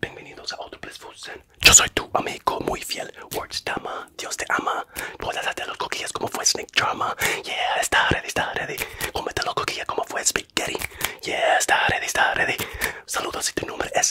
Bienvenidos a otro Bliss Yo soy tu amigo muy fiel, Wordstama. Dios te ama. Puedes hacer los coquillas como fue Snake Drama. Yeah, está ready, está ready. Comete los coquillas como fue Spaghetti. Yeah, está ready, está ready. Saludos y tu número es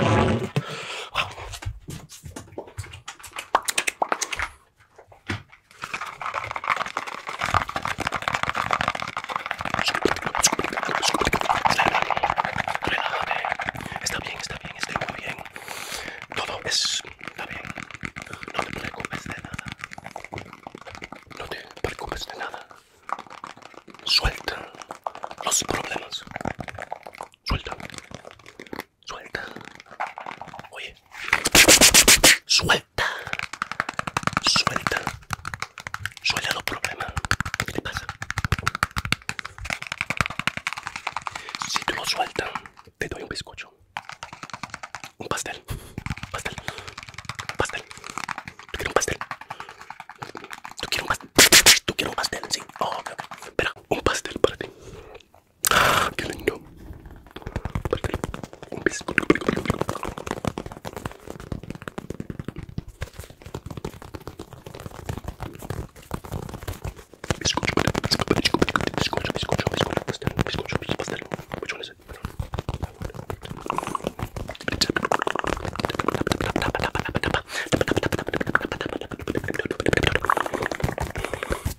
Está bien, está bien, está bien. Todo es, está bien. No te preocupes de nada. No te preocupes de nada. Suelta los problemas. Suelta. Suelta. Oye. Suelta. Suelta. Suelta los problemas. ¿Qué te pasa? Si tú lo sueltas, te doy un bizcocho. Un pastel. Pastel. Pastel. Tú quieres un pastel. Tú quieres un pastel. Tú quieres un pastel, sí. Oh, Espera, un pastel para ti. qué lindo. Pastel. Un pisco Bizcocho, bizcocho, bizcocho, bizcocho, bizcocho, bizcocho, bizcocho, pastel. Which one is it?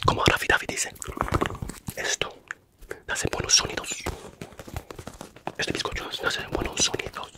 Como Rafi David dice, esto hace buenos sonidos. Este bizcocho hace buenos sonidos.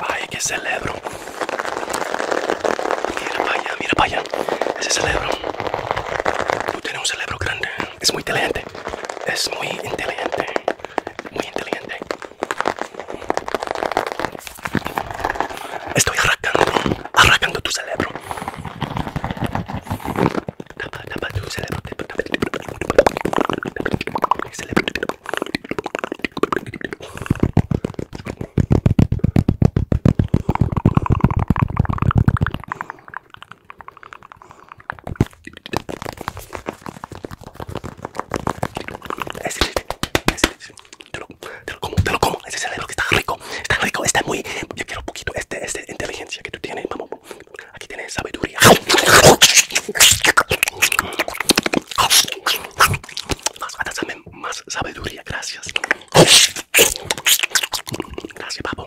Ay, qué celebro. Mira para allá, mira para Ese cerebro Tú tienes un cerebro grande. Es muy inteligente. Es muy inteligente. Muy inteligente. Estoy arrancando, arrancando tu cerebro. Tapa, tapa tu cerebro. Te, lo, te lo como, te lo como. Ese cerebro que está rico, está rico, está muy. Yo quiero un poquito este, este inteligencia que tú tienes. Vamos, aquí tienes sabiduría. Más, más sabiduría, gracias. Gracias, papo.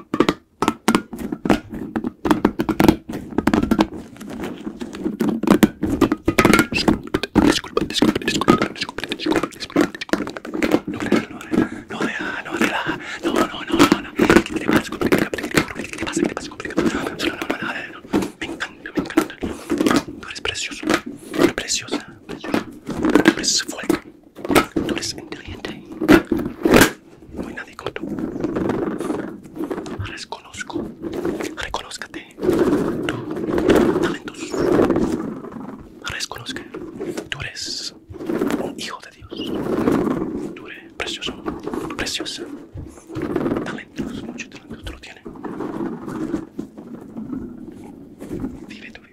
Disculpa, disculpa, disculpa, disculpa, disculpa, disculpa, No, no, no, no, ¿Qué te pasa? ¿Qué te pasa? Me encanta, me encanta. eres precioso, preciosa, preciosa, Tú eres inteligente. No hay nadie como tú. Reconozco. Reconózcate. Tú, talentos. Reconozca. Tú eres un hijo de Dios. Tú eres precioso. Preciosa. Talentos. mucho talentoso, Tú lo tienes. Vive tu vida.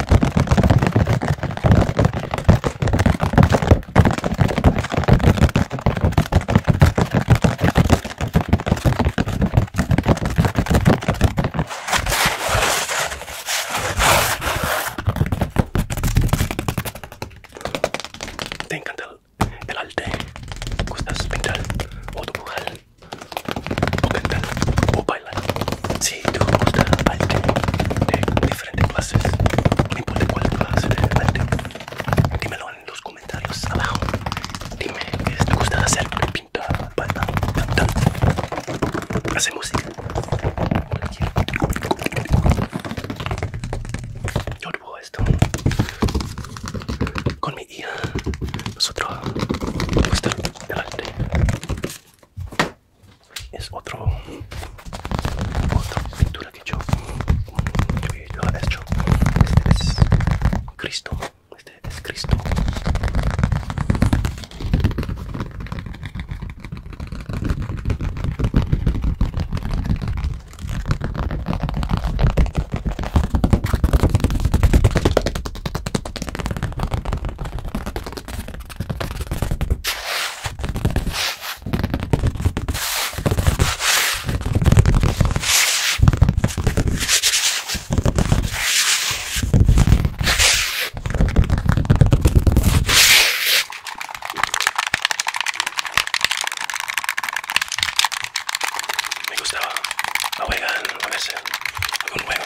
Te encanta el, el arte, gustas pintar o dibujar o cantar o bailar. Si te gusta bailar de diferentes clases, no importa cuál clase de dímelo en los comentarios abajo. Dime que te gusta hacer, pintar, bailar, cantar, hacer música. Yo digo esto con mi hija Nosotros, nuestro delante es otro otra pintura que yo, que yo he hecho este es Cristo este es Cristo me gustaba, lo juegan a veces, algunos juegos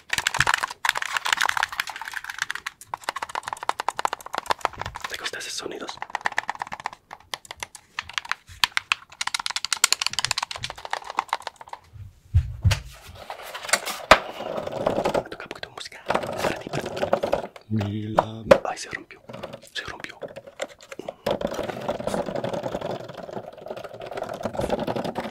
¿Te gustan esos sonidos? Toca un poquito de música para ti, para ti. Ay, se rompió, se rompió.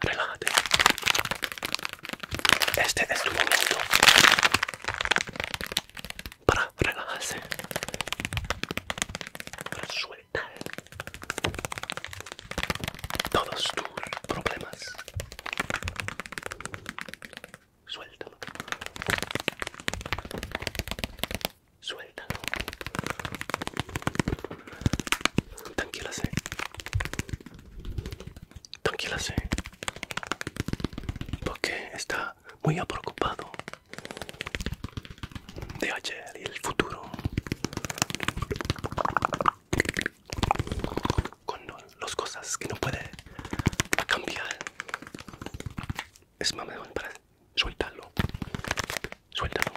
Relájate. Este es el momento para relajarse. Para su todos tus problemas. Suéltalo. Suéltalo. Tranquilase. Tranquilase. Porque está muy preocupado de ayer y el futuro con los cosas que no puede cambiar. Es más para suéltalo, Suéltalo.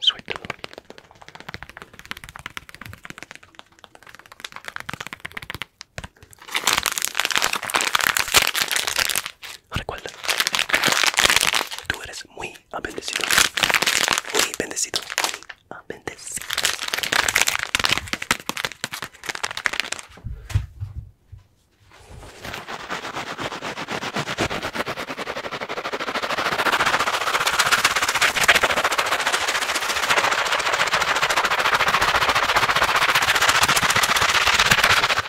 Suéltalo. Recuerda, tú eres muy bendecido, muy bendecido, muy bendecido.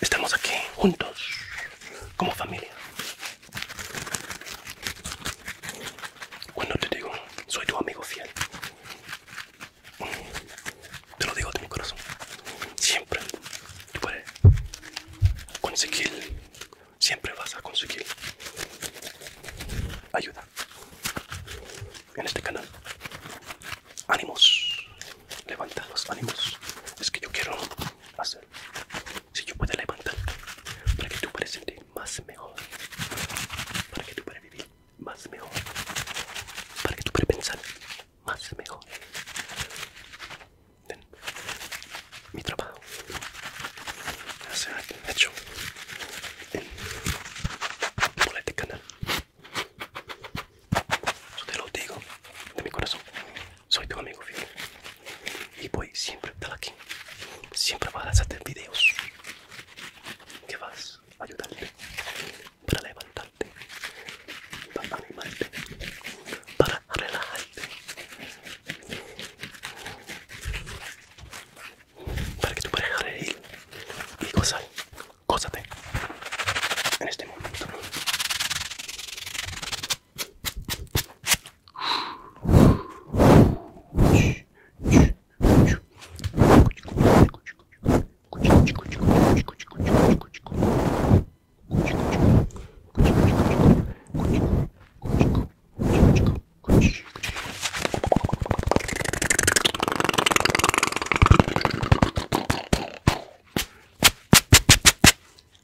Estamos aquí juntos, como familia. Cuando te digo, soy tu amigo fiel. Te lo digo de mi corazón. Siempre puedes conseguir, siempre vas a conseguir ayuda en este canal ánimos, levanta los ánimos. Es que yo quiero hacer, si yo puedo levantar, para que tú puedas sentir más mejor, para que tú puedas vivir más mejor, para que tú puedas pensar más mejor. Mi trabajo se ha hecho en por este canal te lo digo de mi corazón. Soy tu amigo fiel. Y voy siempre estar aquí. Siempre vas a hacer videos que vas a ayudarte, para levantarte, para animarte, para relajarte, para que tú pareja reír y cosas te en este momento.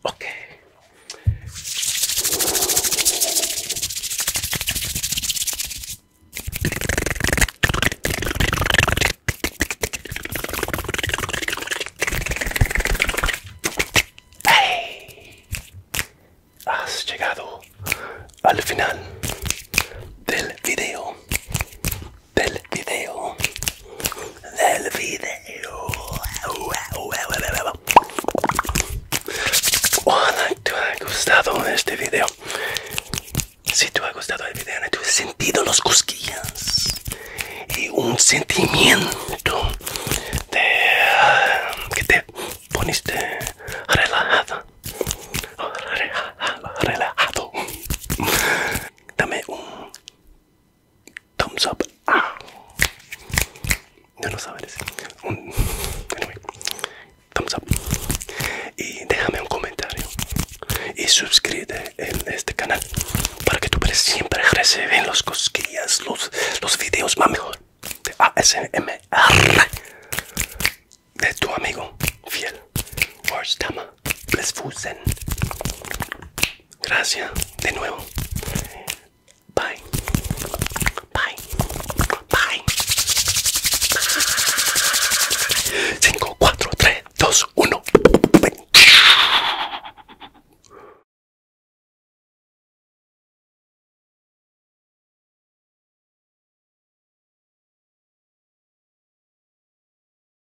Okay. Has llegado al final del video del video del video hola te ha gustado este video si te ha gustado el video has sentido los cosquillas y un sentimiento de que te poniste relajado relajado dame un Thumbs up. No ah. lo sabes. Thumbs up. Y déjame un comentario. Y suscríbete en este canal. Para que tú siempre reciben los cosquillas, los, los videos más mejor. De ASMR. De tu amigo fiel. Warstama les fusen. Gracias, de nuevo. Bye. Bye. Bye. 5, 4, 3, 2, 1.